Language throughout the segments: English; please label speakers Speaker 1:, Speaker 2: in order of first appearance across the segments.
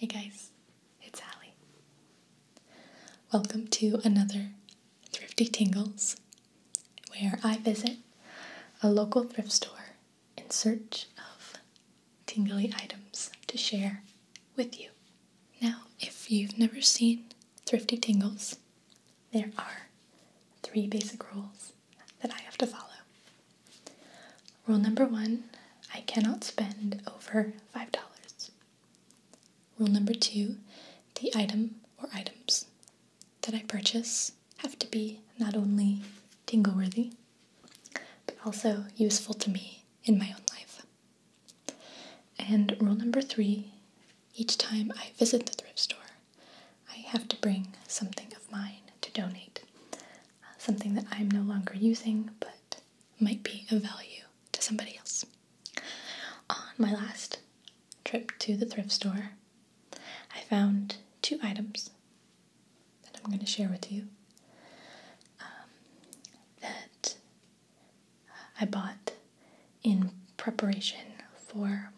Speaker 1: Hey guys, it's Allie. Welcome to another Thrifty Tingles, where I visit a local thrift store in search of tingly items to share with you. Now, if you've never seen Thrifty Tingles, there are three basic rules that I have to follow. Rule number one I cannot spend over $5. Rule number two the item or items that I purchase have to be not only tingle worthy, but also useful to me in my own life. And rule number three each time I visit the thrift store, I have to bring something of mine to donate. Uh, something that I'm no longer using but might be of value to somebody else. On my last trip to the thrift store, I found two items that I'm going to share with you um, that I bought in preparation for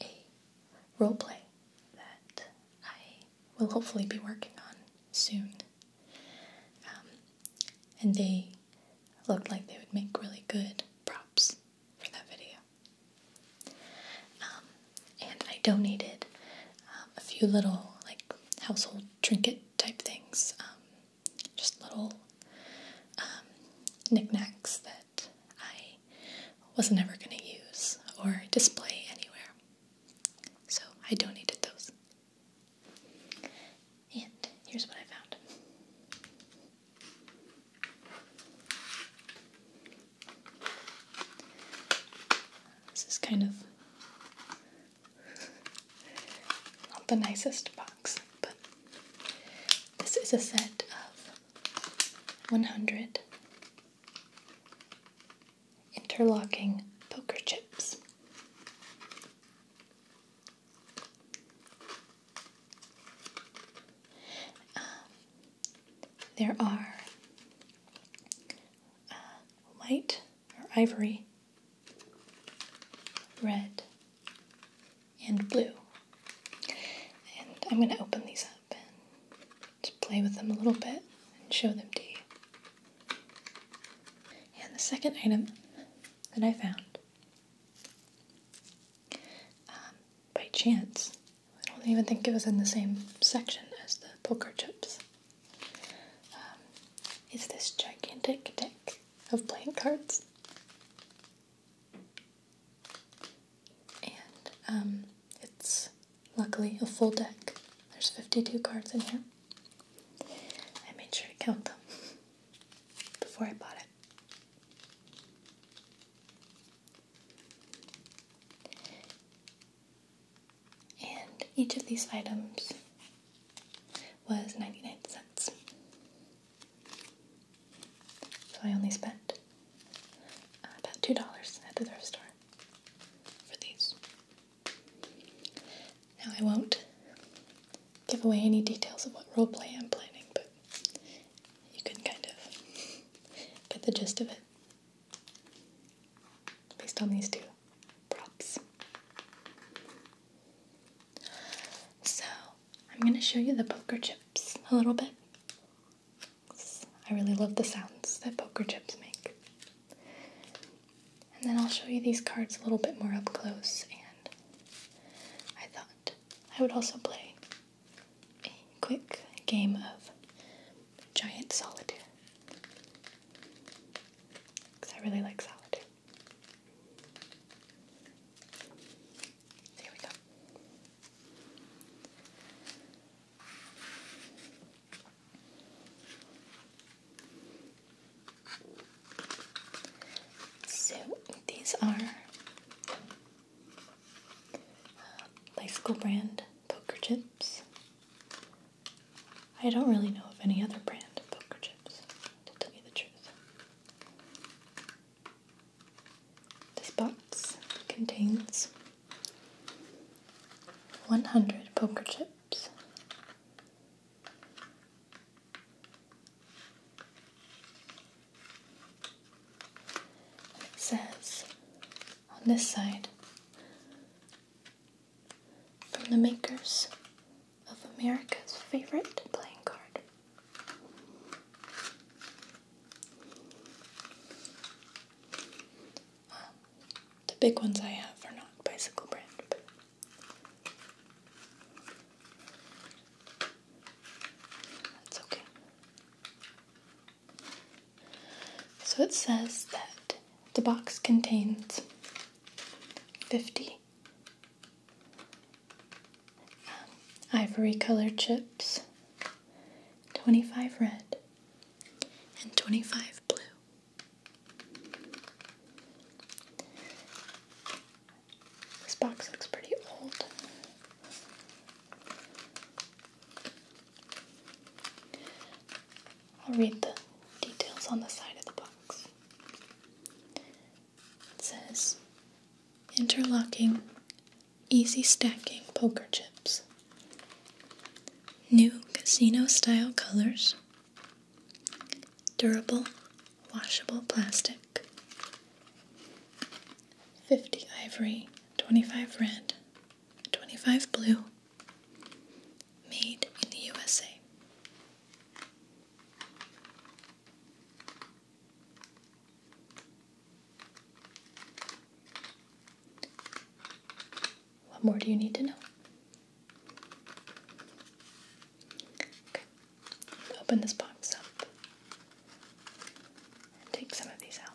Speaker 1: a role play that I will hopefully be working on soon. Um, and they looked like they would make really good props for that video. Um, and I donated um, a few little like household trinket type things, um, just little um, knickknacks that I was never going to use or display anywhere. So I donated those. And here's what I found. This is kind of not the nicest box, but this is a set of 100 interlocking poker chips. Um, there are uh, white or ivory, red, and blue. And I'm going to open these up and just play with them a little bit and show them to you. And the second item that I found um, by chance, I don't even think it was in the same section as the poker chips. Um, is this gigantic deck of playing cards. And um, it's luckily a full deck. There's 52 cards in here. I made sure to count them before I bought it. And each of these items was 99 cents. So I only spent uh, about $2 at the thrift store for these. Now I won't give away any details of what roleplay I'm planning, but you can kind of get the gist of it based on these two props. So, I'm going to show you the poker chips a little bit. I really love the sounds that poker chips make. And then I'll show you these cards a little bit more up close, and I thought I would also play a quick game of Giant Solitaire. Because I really like solitaire. There we go. So these are uh, bicycle brand poker chips. I don't really know of any other brand of poker chips, to tell you the truth. This box contains 100 poker chips. says on this side from the makers of America's favorite playing card. Um, the big ones I have are not bicycle brand, but that's okay. So it says that the box contains 50 ivory colored chips, 25 red, and 25 blue. This box looks pretty old. I'll read the details on the side of the box. It says Interlocking, easy stacking poker chips. New casino style colors. Durable, washable plastic. 50 ivory, 25 red, 25 blue. Made in the USA. What more do you need to know? Okay, open this box up and take some of these out.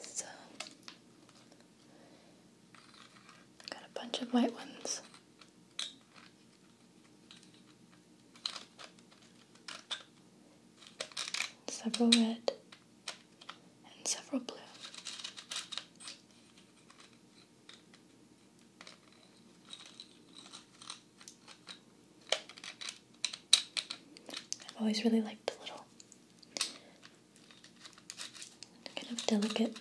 Speaker 1: So, got a bunch of white ones. Several red and several blue. I've always really liked the little kind of delicate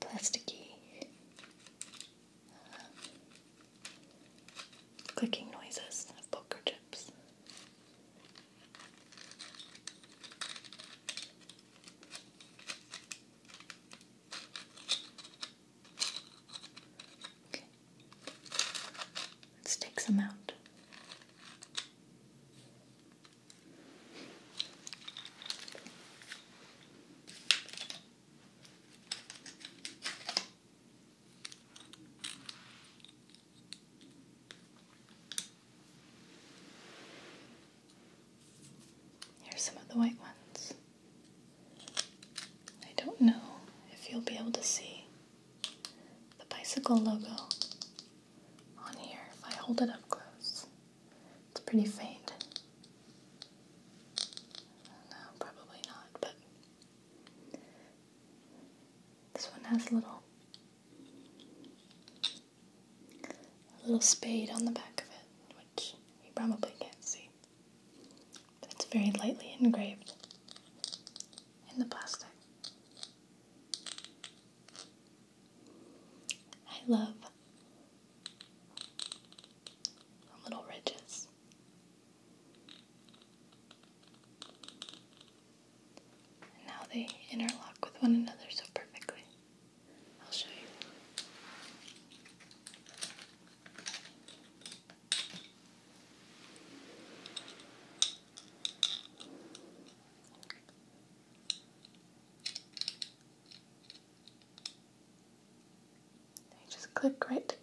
Speaker 1: plasticky uh, clicking noises of poker chips. Okay. Let's take some out. Here's some of the white ones. I don't know if you'll be able to see the bicycle logo on here if I hold it up close. It's pretty faint. No, probably not, but this one has little a little spade on the back of it, which you probably can't see. it's very lightly engraved in the plastic. I love little ridges. And now they interlock with one another so perfectly. I'll show you. They just click right together.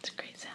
Speaker 1: It's a great sound.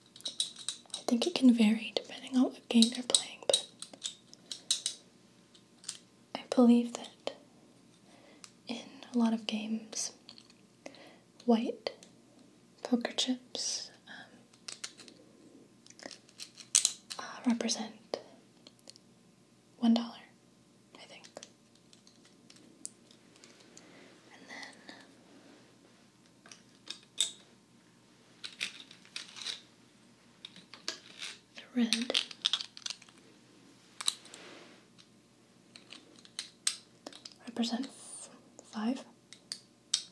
Speaker 1: I think it can vary depending on what game they are playing, but I believe that in a lot of games, white poker chips um, uh, represent one dollar, I think the red. represents five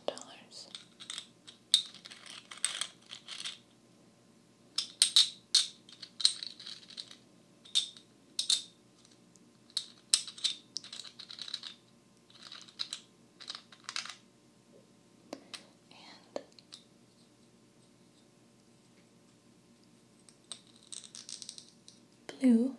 Speaker 1: dollars. And blue.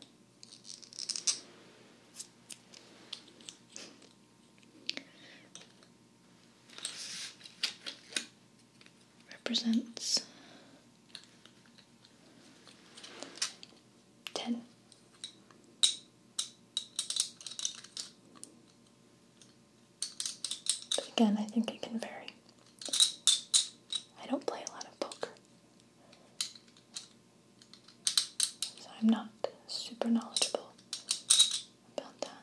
Speaker 1: Represents ten again, I think it can vary. I don't play a lot of poker. So I'm not super knowledgeable about that.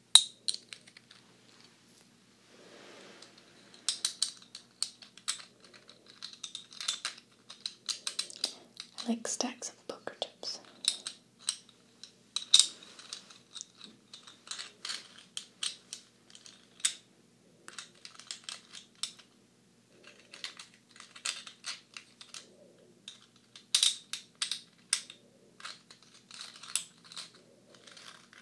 Speaker 1: I like stacks of poker chips.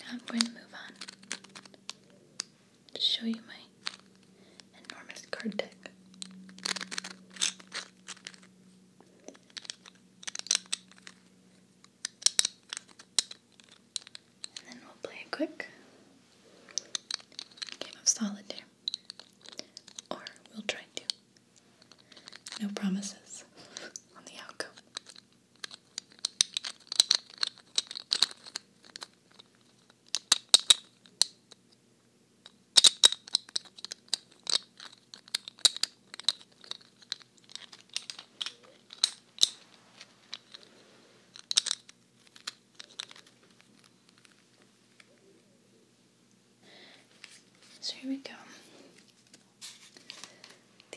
Speaker 1: Now I'm going to move on to show you my enormous card deck. And then we'll play a quick game of solitaire. Or we'll try to. No promises on the outcome. So here we go.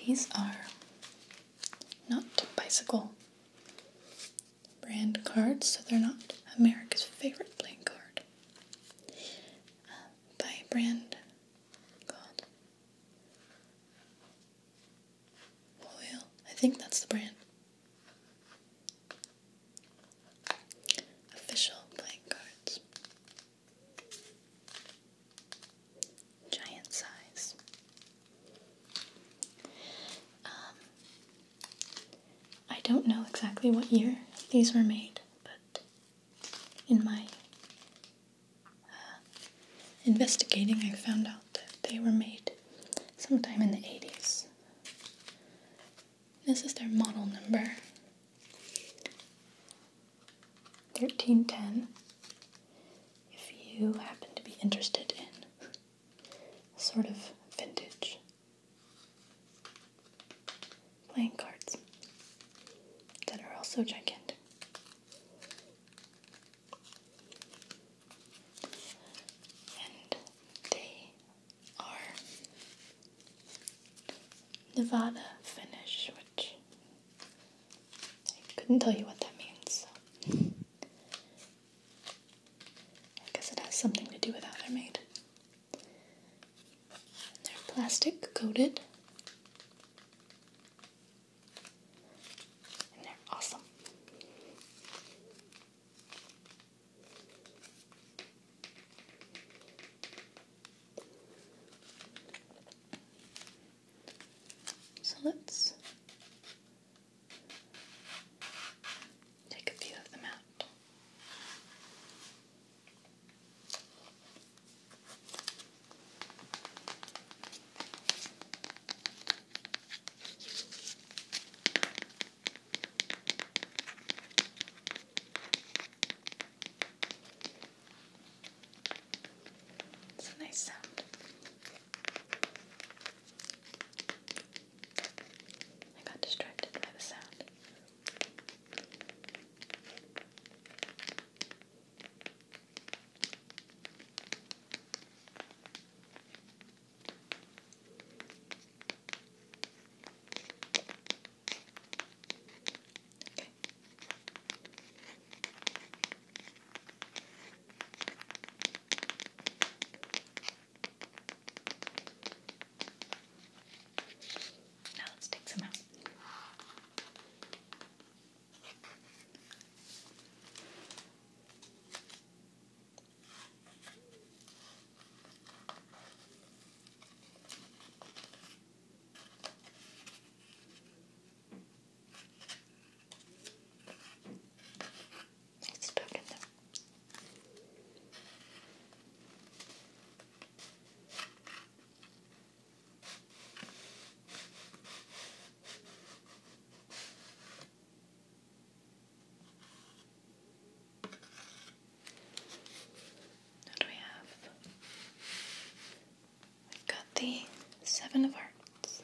Speaker 1: These are not bicycle brand cards, so they're not America's favorite playing card. Uh, by brand called Loyal. I think that's the brand. Official playing cards. Giant size. Um, I don't know exactly what year these were made, but in my uh, investigating, I found out that they were made sometime in the 80s. This is their model number 1310, if you happen to be interested in sort of vintage playing cards that are also gigantic. And they are Nevada Finish, which I couldn't tell you what that means. I guess it has something to do with how they're made. they're plastic coated. And they're awesome. So let's Take a few of them out. It's a nice sound. I got distracted by the sound. Okay. Now let's take some out. It's What do we have? We've got the Seven of Hearts.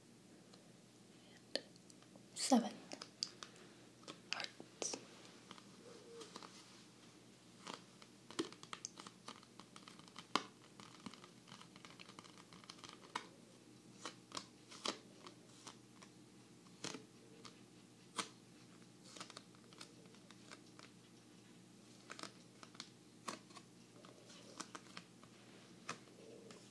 Speaker 1: seven hearts.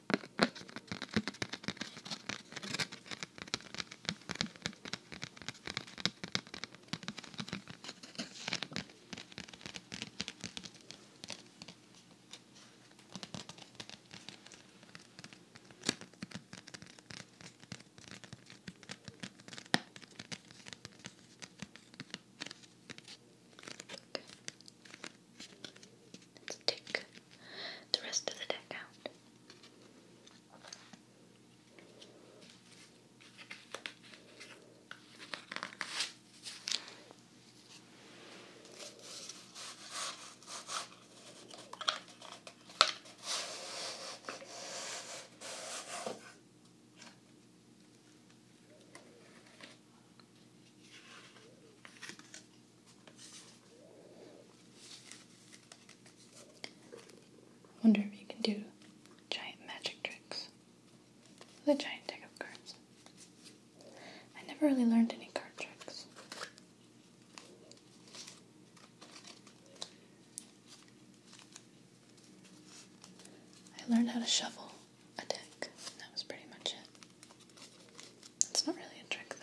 Speaker 1: Let's take the rest of the deck out. Wonder if you can do giant magic tricks with a giant deck of cards. I never really learned any card tricks. I learned how to shuffle a deck. That was pretty much it. It's not really a trick, though.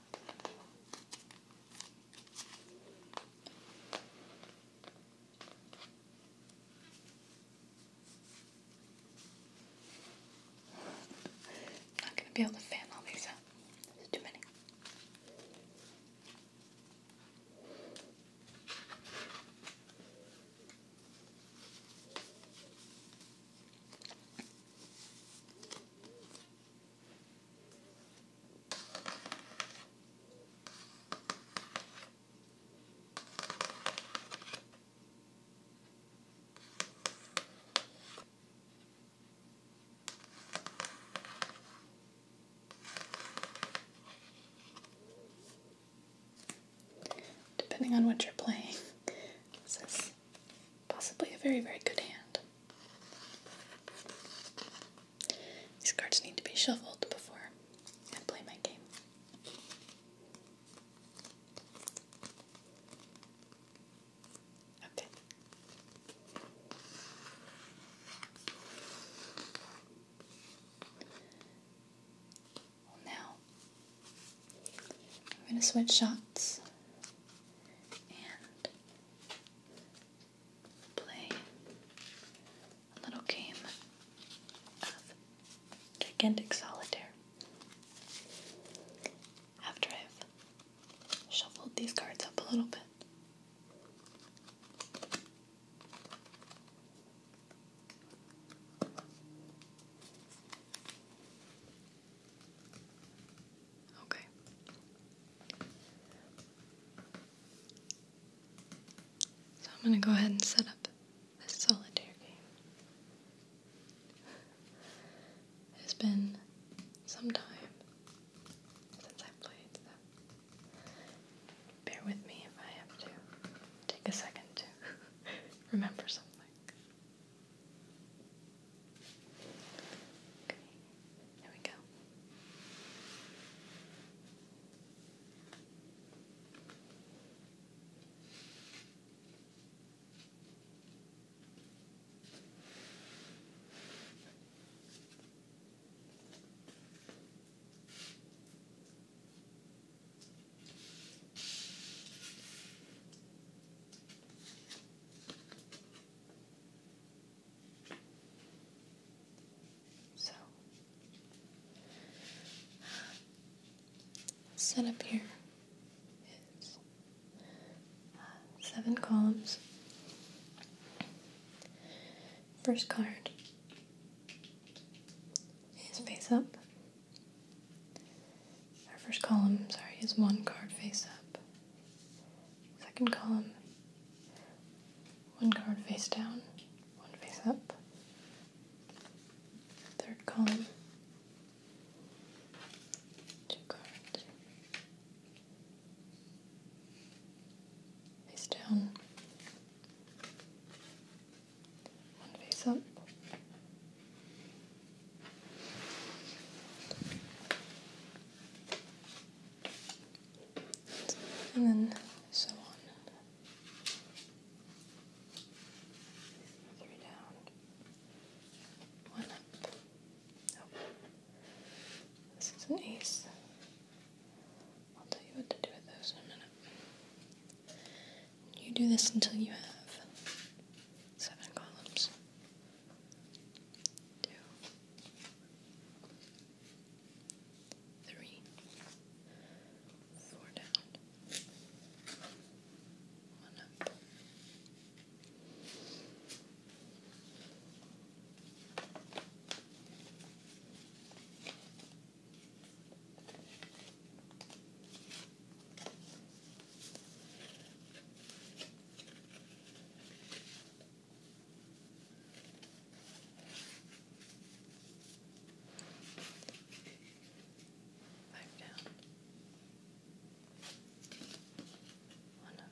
Speaker 1: not going to be able to fan all these up. There's too many. Depending on what you're playing, this is possibly a very, very good hand. These cards need to be shuffled before I play my game. Okay. now I'm going to switch shots and play a little game of gigantic solitaire. After I've shuffled these cards up a little bit. Okay. So I'm going to go ahead and set up this solitaire game. It's been some time since I played, so bear with me if I have to take a second to remember something. Okay, there we go. Okay. So, up here is uh, seven columns. First card is face up. Our first column, sorry, is one card face up. Second column, one card face down, one face up. Third column, two cards. Face down, one face up, and then so on. Three down, one up. This is an ace. I'll tell you what to do with those in a minute. You do this until you have seven columns two, three, four down, one up. Two, Five down. One up.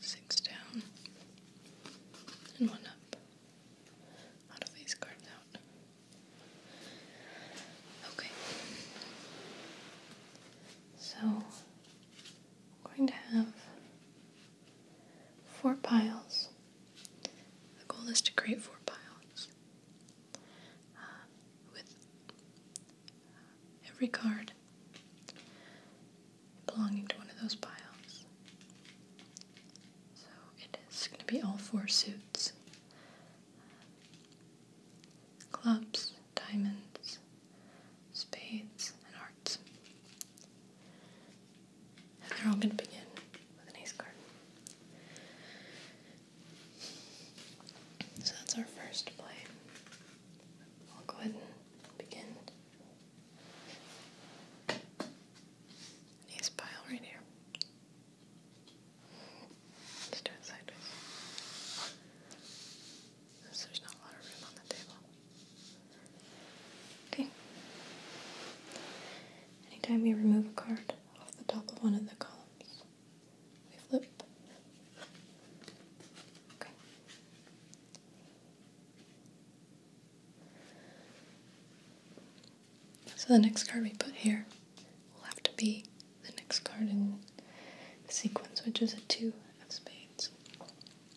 Speaker 1: Six down and one up. Out of these cards out. Okay. So I'm going to have four piles. The goal is to create four piles uh, with every card belonging to one of those piles. So it is going to be all four suits. Clubs, diamonds, spades, and hearts. And they're all going to begin with an ace card. So that's our first play. I'll go ahead and begin Knees pile right here. Let's do it sideways. there's not a lot of room on the table. Okay. Anytime we remove a card off the top of one of the columns, we flip. Okay. So the next card we put here will have to be the next card in the sequence, which is a two of spades.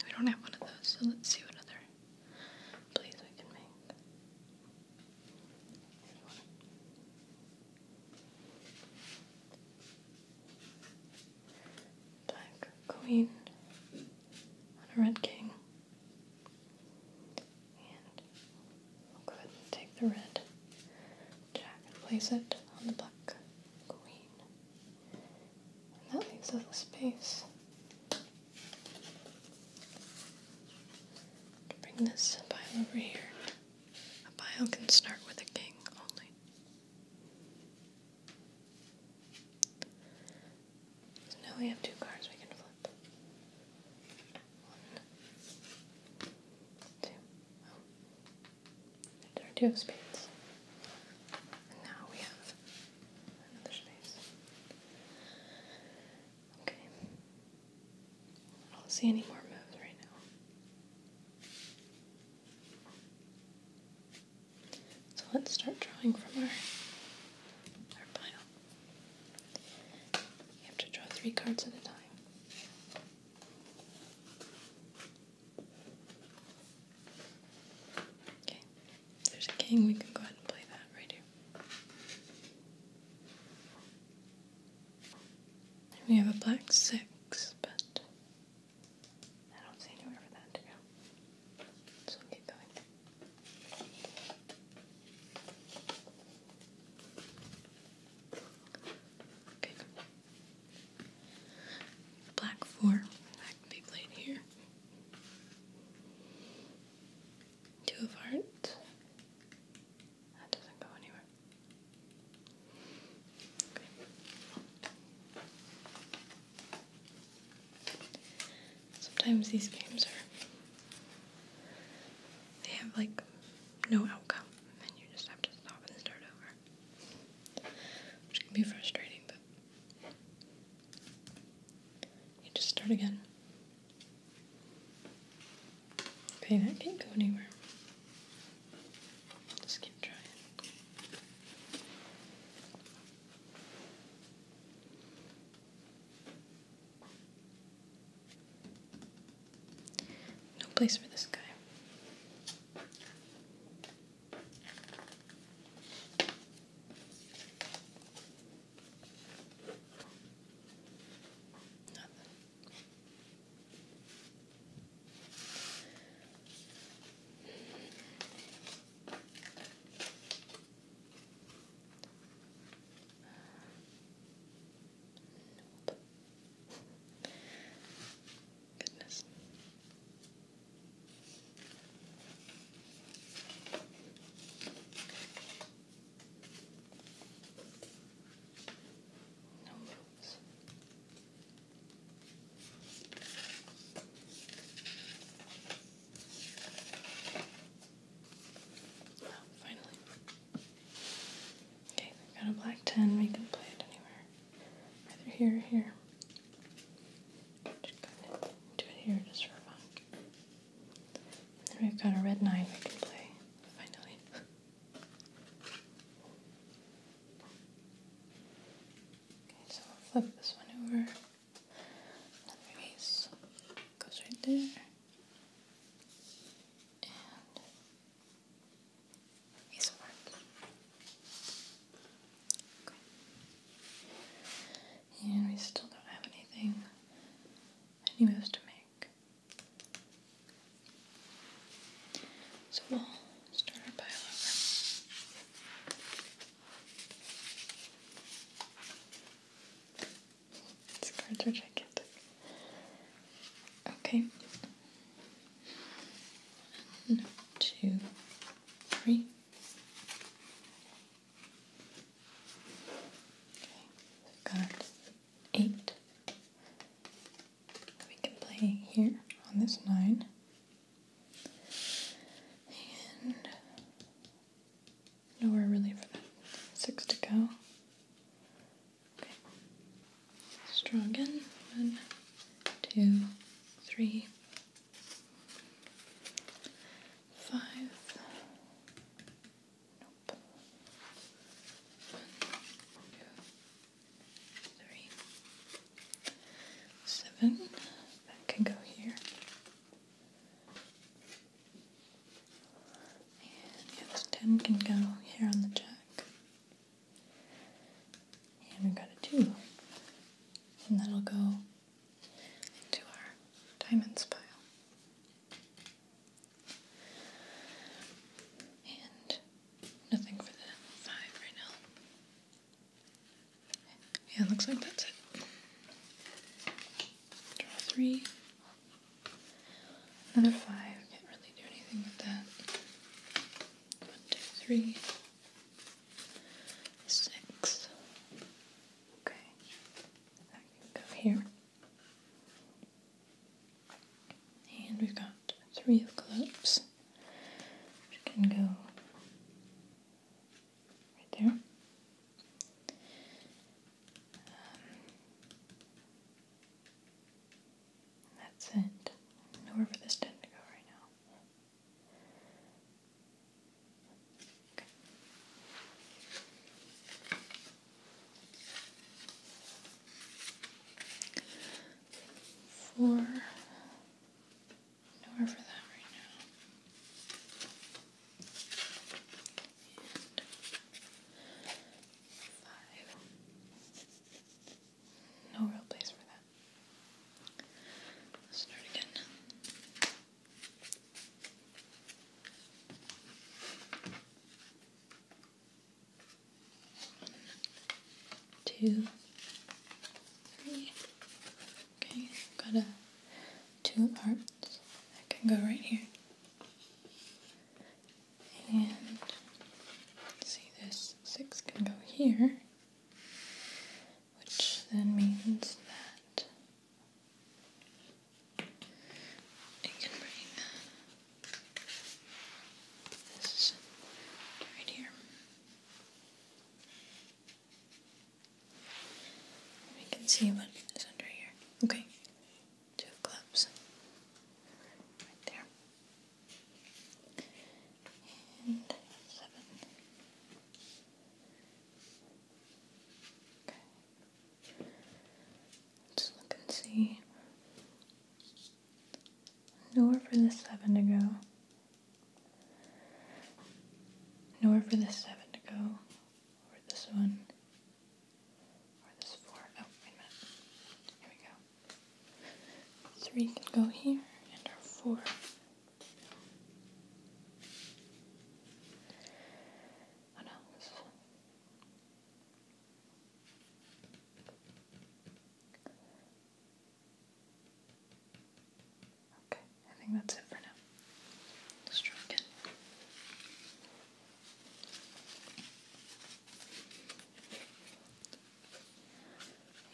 Speaker 1: We don't have one of those, so let's see what other plays we can make. Black queen on a red king. And go ahead and take the red jack and place it on the black queen. And that leaves us a space bring this pile over here. A pile can start with a king only. So now we have two cards we can flip. One, two. Oh. There are spades. now we have another space. Okay. I don't see any more moves right now. So let's start drawing from our, our pile. You have to draw three cards at a time. Okay, there's a king, we can go ahead and play that right here. we have a black six, but I don't see anywhere for that to go. So keep going. Black four. That can be played here. Two of hearts. That doesn't go anywhere. Sometimes these games are, they have like no outcome, and you just have to stop and start over. Which can be frustrating, but you just start again. Okay, that can't go anywhere. Just keep trying. No place for this guy. Nothing. Nope. Goodness. No moves. Oh, finally. Okay, we've got a black 10. We can play it anywhere. Either here or here. Just do it here just for fun. then we've got a red 9 we can play, finally. okay, so we'll flip this one over. Anyways, goes right there. And he's marked. Okay. And we still don't have anything, any moves to make. So we'll start our pile over cards are gigantic. Okay. One, two, three. Okay, we've got eight. We can play here on this nine. And nowhere really for that six to go. Strong Let's again. One, two, three, five. Seven. That can go here. And ten can go here on the jack. And we've got a two. And that'll go into our diamonds pile. And nothing for the five right now. Yeah, it looks like that's it. Draw three. Another five. Can't really do anything with that. One, two, Okay. That can go here. And we've got three of clubs, which can go right there. Um, that's it. Nowhere this tent go right now. Okay. For nowhere for that right now. five. No real place for that. Let's start again. One, two, three, Okay, got a two hearts that can go right here. And see this six can go here, which then means that it can bring this right here. We can see what is under here. Okay, two clubs. Right there. And seven. Okay. let look and see. Nowhere for the seven to go. Nowhere for the seven to go. Or this one. Or this four. Oh, wait a minute. Here we go. Three can go here, and our four. Oh no, Okay, I think that's it for now. let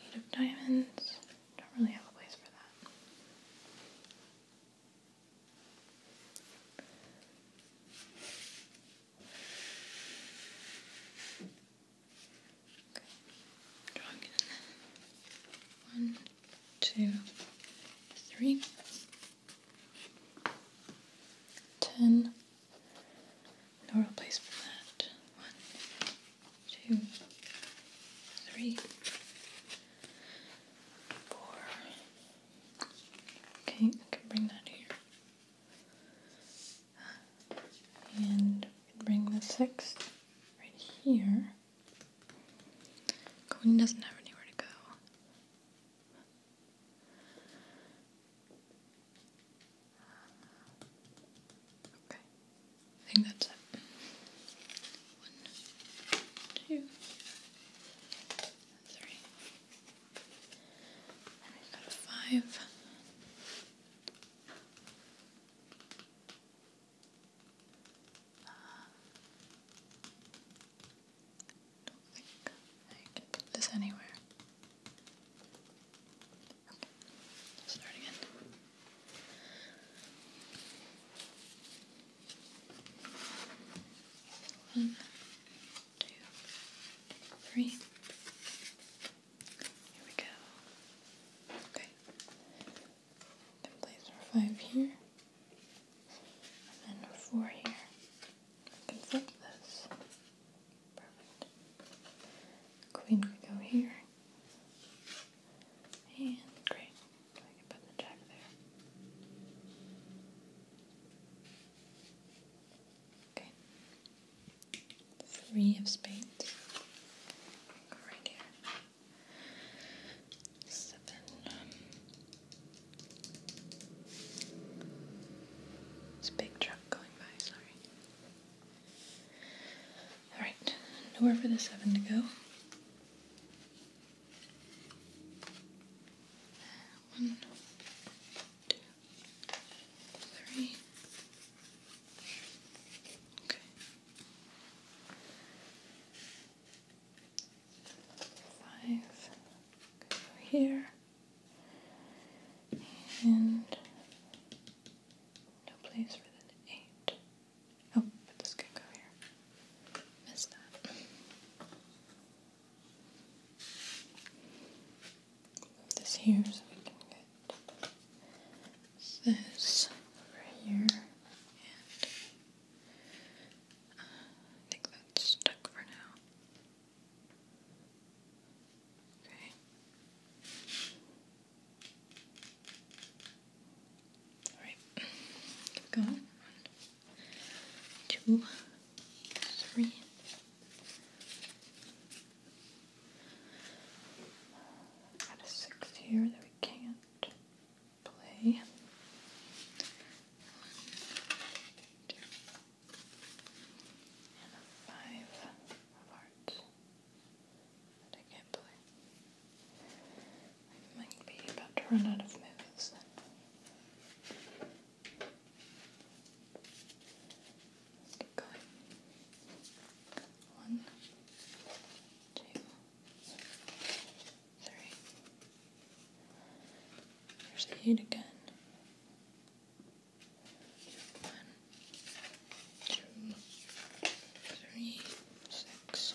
Speaker 1: Eight of diamonds. Don't really have a place for that. Okay. One, two, three, ten. No real place for that. One, two, three, four. Okay, I can bring that here. And bring the sixth right here. Gordon doesn't have anywhere to go. Okay, I think that's it. One, two, three. Uh, don't think I can put this anywhere. Okay, start One, two, three. Here we go. Okay. Then place our five here. And then four here. can flip this. Perfect. Queen could go here. And great. I can put the jack there. Okay. Three of spades. right here. Um, it's a big truck going by, sorry. Alright, nowhere for the seven to go. One, two, three. Okay. Five. here. And no place for the eight. Oh, but this could go here. Missed that. Move this here so we this over here, and uh, I think that's stuck for now. Okay. Alright, One, two, three. Got a six here that we can't play. five of hearts that I can't play. I might be about to run out of moves then. One, two, three. There's the eight again. One, two, three, six.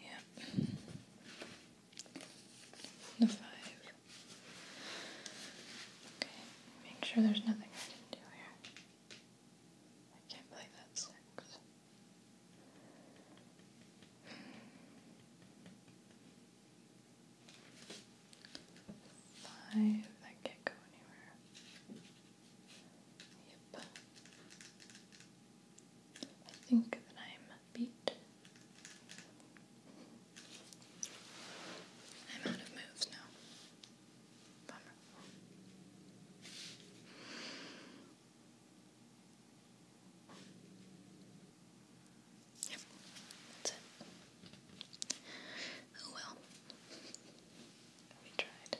Speaker 1: Yep. The five. Okay, make sure there's nothing I didn't do here. I can't believe that's six. Five, that can't go anywhere. Yep. I think that I'm beat. I'm out of moves now. Bummer. Yep, that's it. Oh well. We tried.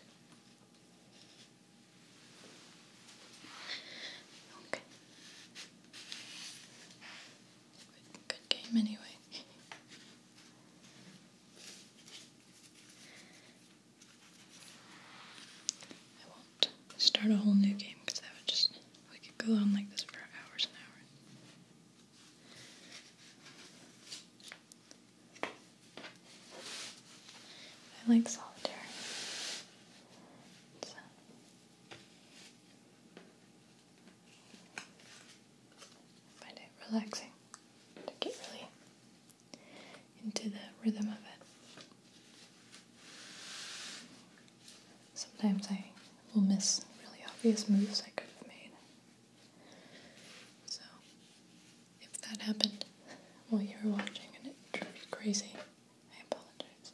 Speaker 1: Okay. Good, good game anyway. I won't start a whole new game because that would just, we could go on like this for hours and hours. I like solitaire. find it relaxing to get really into the rhythm of it. Sometimes I will miss really obvious moves I could have made. So, if that happened while you were watching and it drove you crazy, I apologize.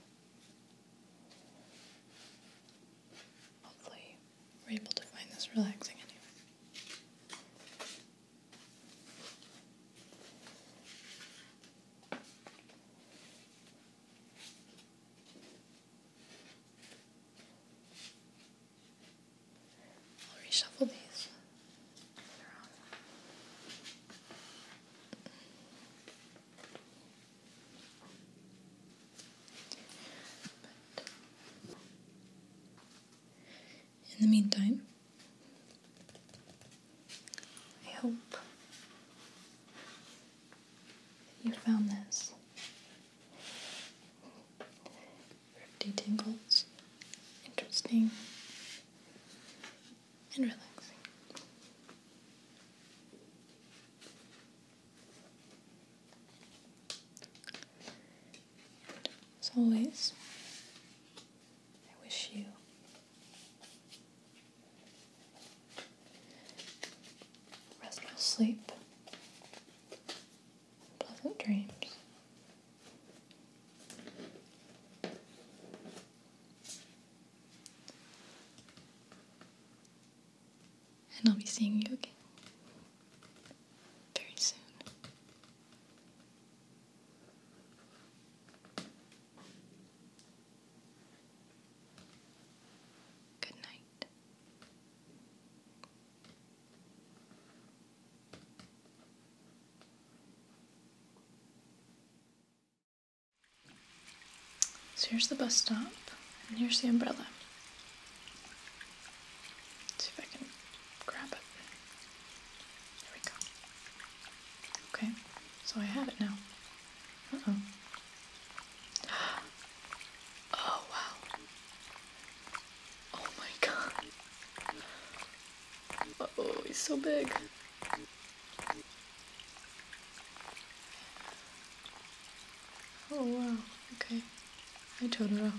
Speaker 1: Hopefully, you were able to find this relaxing anyway. I'll reshuffle these in the meantime, I hope you found this Rifty interesting and relaxing. as always, I wish you restful sleep, pleasant dreams. And I'll be seeing you again very soon. Good night. So here's the bus stop, and here's the umbrella. see if I can grab it. There we go. Okay, so I have it now. Uh oh. Oh wow. Oh my god. oh, he's so big. Oh wow, okay. I Hi Totoro.